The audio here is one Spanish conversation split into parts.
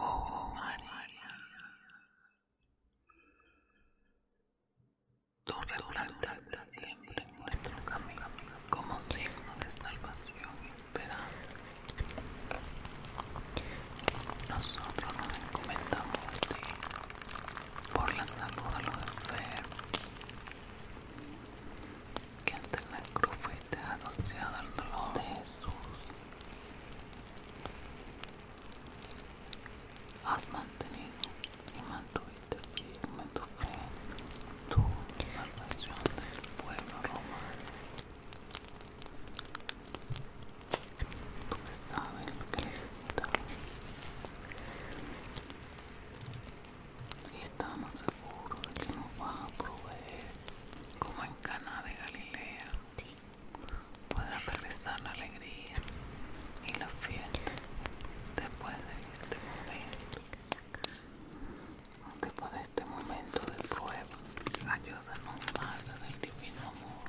Oh, María, tu regularidad siempre en nuestro camino como signo de salvación y Nosotros nos encomendamos por la salud de los que ante la cruz fuiste asociado al dolor de Jesús. Has mantenido y mantuviste firme tu fe, tu salvación del pueblo romano. Porque sabes lo que necesitamos y estamos seguros de que nos va a proveer como en Cana de Galilea Pueda puede regresar la alegría y la fiesta después de este momento después de este momento de prueba ayúdanos Padre del divino amor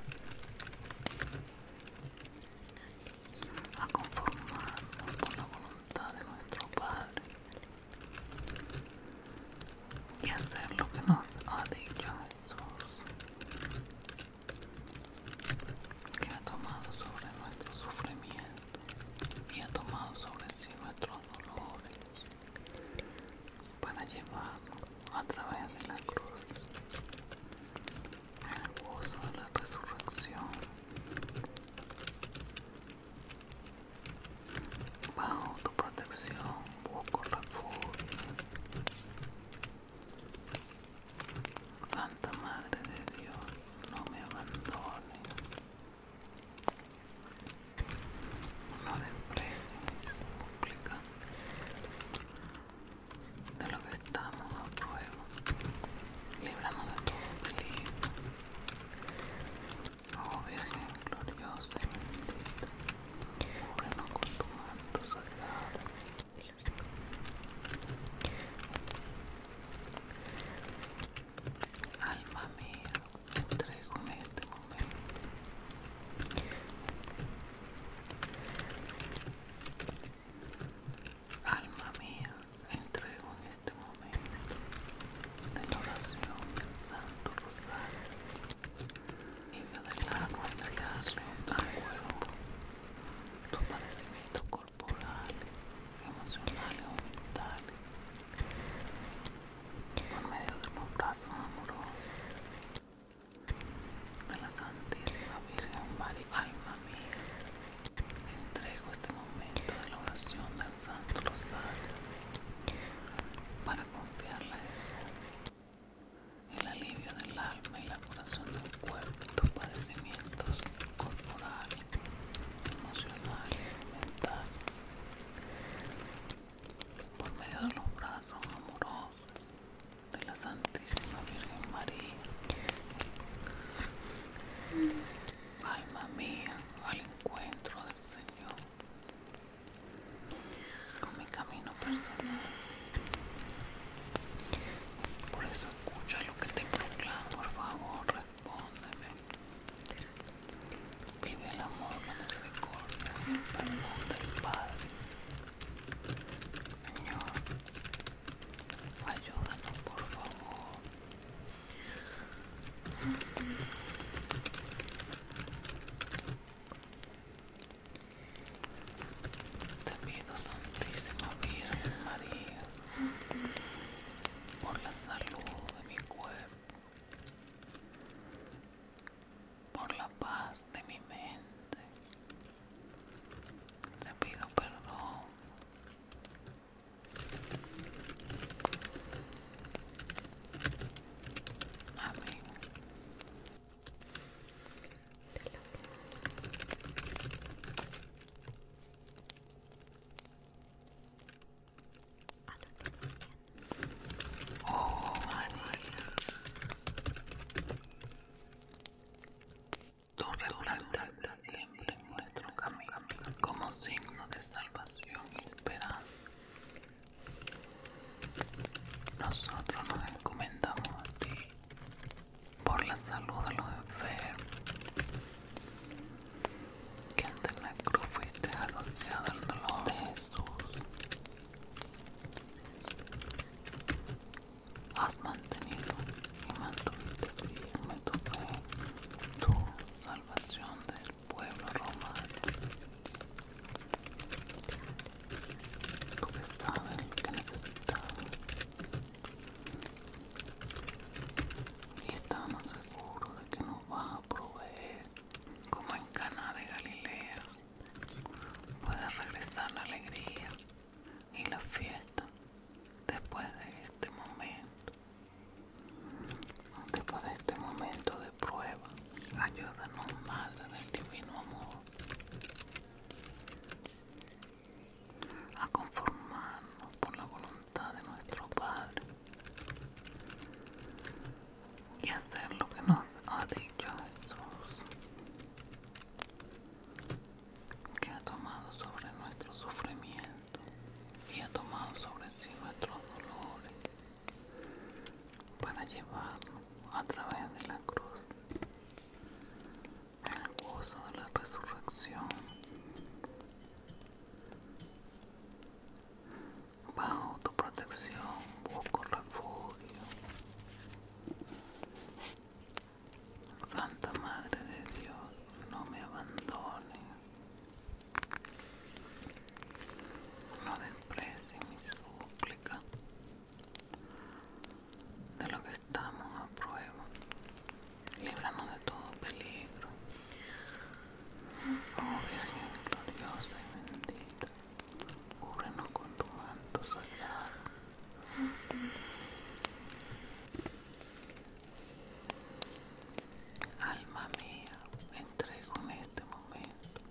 a conformarnos con la voluntad de nuestro Padre y hacer lo que nos ha dicho Jesús, que ha tomado sobre nuestro sufrimiento y ha tomado sobre sí nuestros dolores para llevarnos a través de la cruz en el gozo de la resurrección. Bajo tu protección busco refugio. Santa Madre de Dios, no me abandones. No desprecies mis suplicantes de lo que estamos a prueba, libramos de todo peligro. Oh Virgen gloriosa y bendita, cúbrenos con tu manto sagrado. Alma mía, entrego en este momento Alma mía, entrego en este momento de la oración del Santo Rosario y me declaro entregarle a cuerpo tu padecimiento corporal, emocional y mental por medio de un brazos amoroso. De la Santísima Virgen María, alma mía, entrego este momento de la oración del Santo Rosario para confiarle a el alivio del alma y la curación del cuerpo y tus padecimientos corporales, emocionales, mentales por medio de los brazos amorosos de la Santísima Virgen María. Alma mía, al encuentro del Señor. Con mi camino personal. Por eso escucha lo que te proclamo, por favor, respóndeme. Pide el amor, la misericordia y el perdón del Padre. Señor, ayúdanos por favor. Te pido, Santísima Virgen María, por la salud de mi cuerpo por la paz de mi mente. Te pido perdón amén Oh María, tú Oh, tu siempre en nuestro camino como signo de salvación y esperanza. Nosotros nos encomendamos a ti por la salud de los enfermos, que ante la cruz fuiste asociado al dolor de Jesús. Has mantenido y mantuviste firme tu fe, tu salvación del pueblo romano. Tú que que necesitaba y estamos seguros de que nos vas a proveer como en Cana de Galilea puede regresar la alegría y la fiesta después de este momento después de este momento de prueba ayúdanos madre del divino amor a conformarnos por la voluntad de nuestro Padre y hacer lo que nos ha dicho Jesús, que ha tomado sobre nuestro sufrimiento y ha tomado sobre sí nuestros dolores para llevarnos a través de la cruz el gozo de la resurrección. Bajo tu protección busco refugio. Santa Madre de Dios, no me abandones No desprecie mi súplica de lo que estamos a prueba. Líbranos de todo peligro. Oh Virgen gloriosa y bendita, cúbrenos con tu manto sagrado. Alma mía, entrego en este momento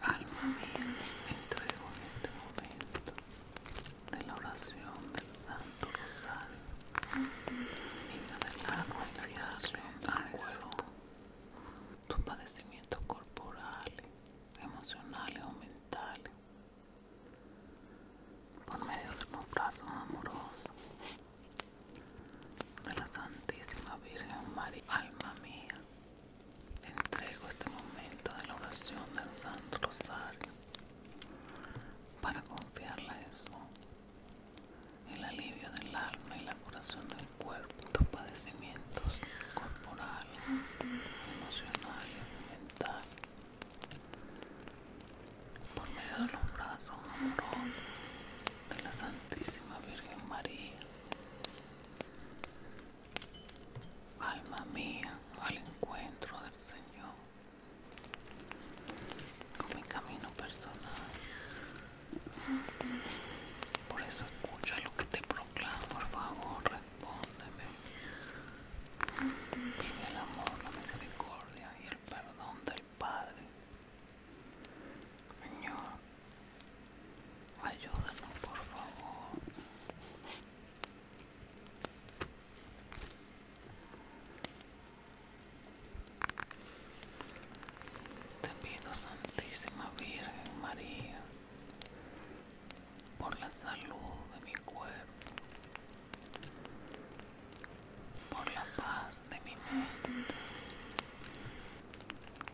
Alma mía, entrego en este momento de la oración del Santo Rosario, mira del agua la creación a tus padecimientos corporales, emocionales o mentales, por medio de de la Santísima Virgen María, alma mía, entrego este momento de la oración del Santo Rosario para confiarle a el alivio del alma y la curación del cuerpo, tus padecimientos corporales, emocionales y mentales por medio de los brazos amorosos de la Santísima Virgen María. Alma mía, al encuentro del Señor, con mi camino personal. Por eso escucha lo que te proclamo, por favor, respóndeme. Pide el amor, la misericordia y el perdón de Padre. Señor, ayúdanos por favor. Te pido, Santísima Virgen María, por la salud de mi cuerpo por la paz de mi mente.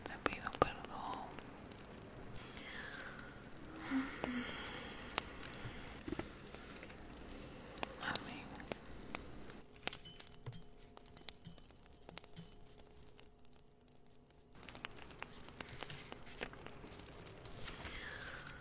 Te pido perdón. Amén.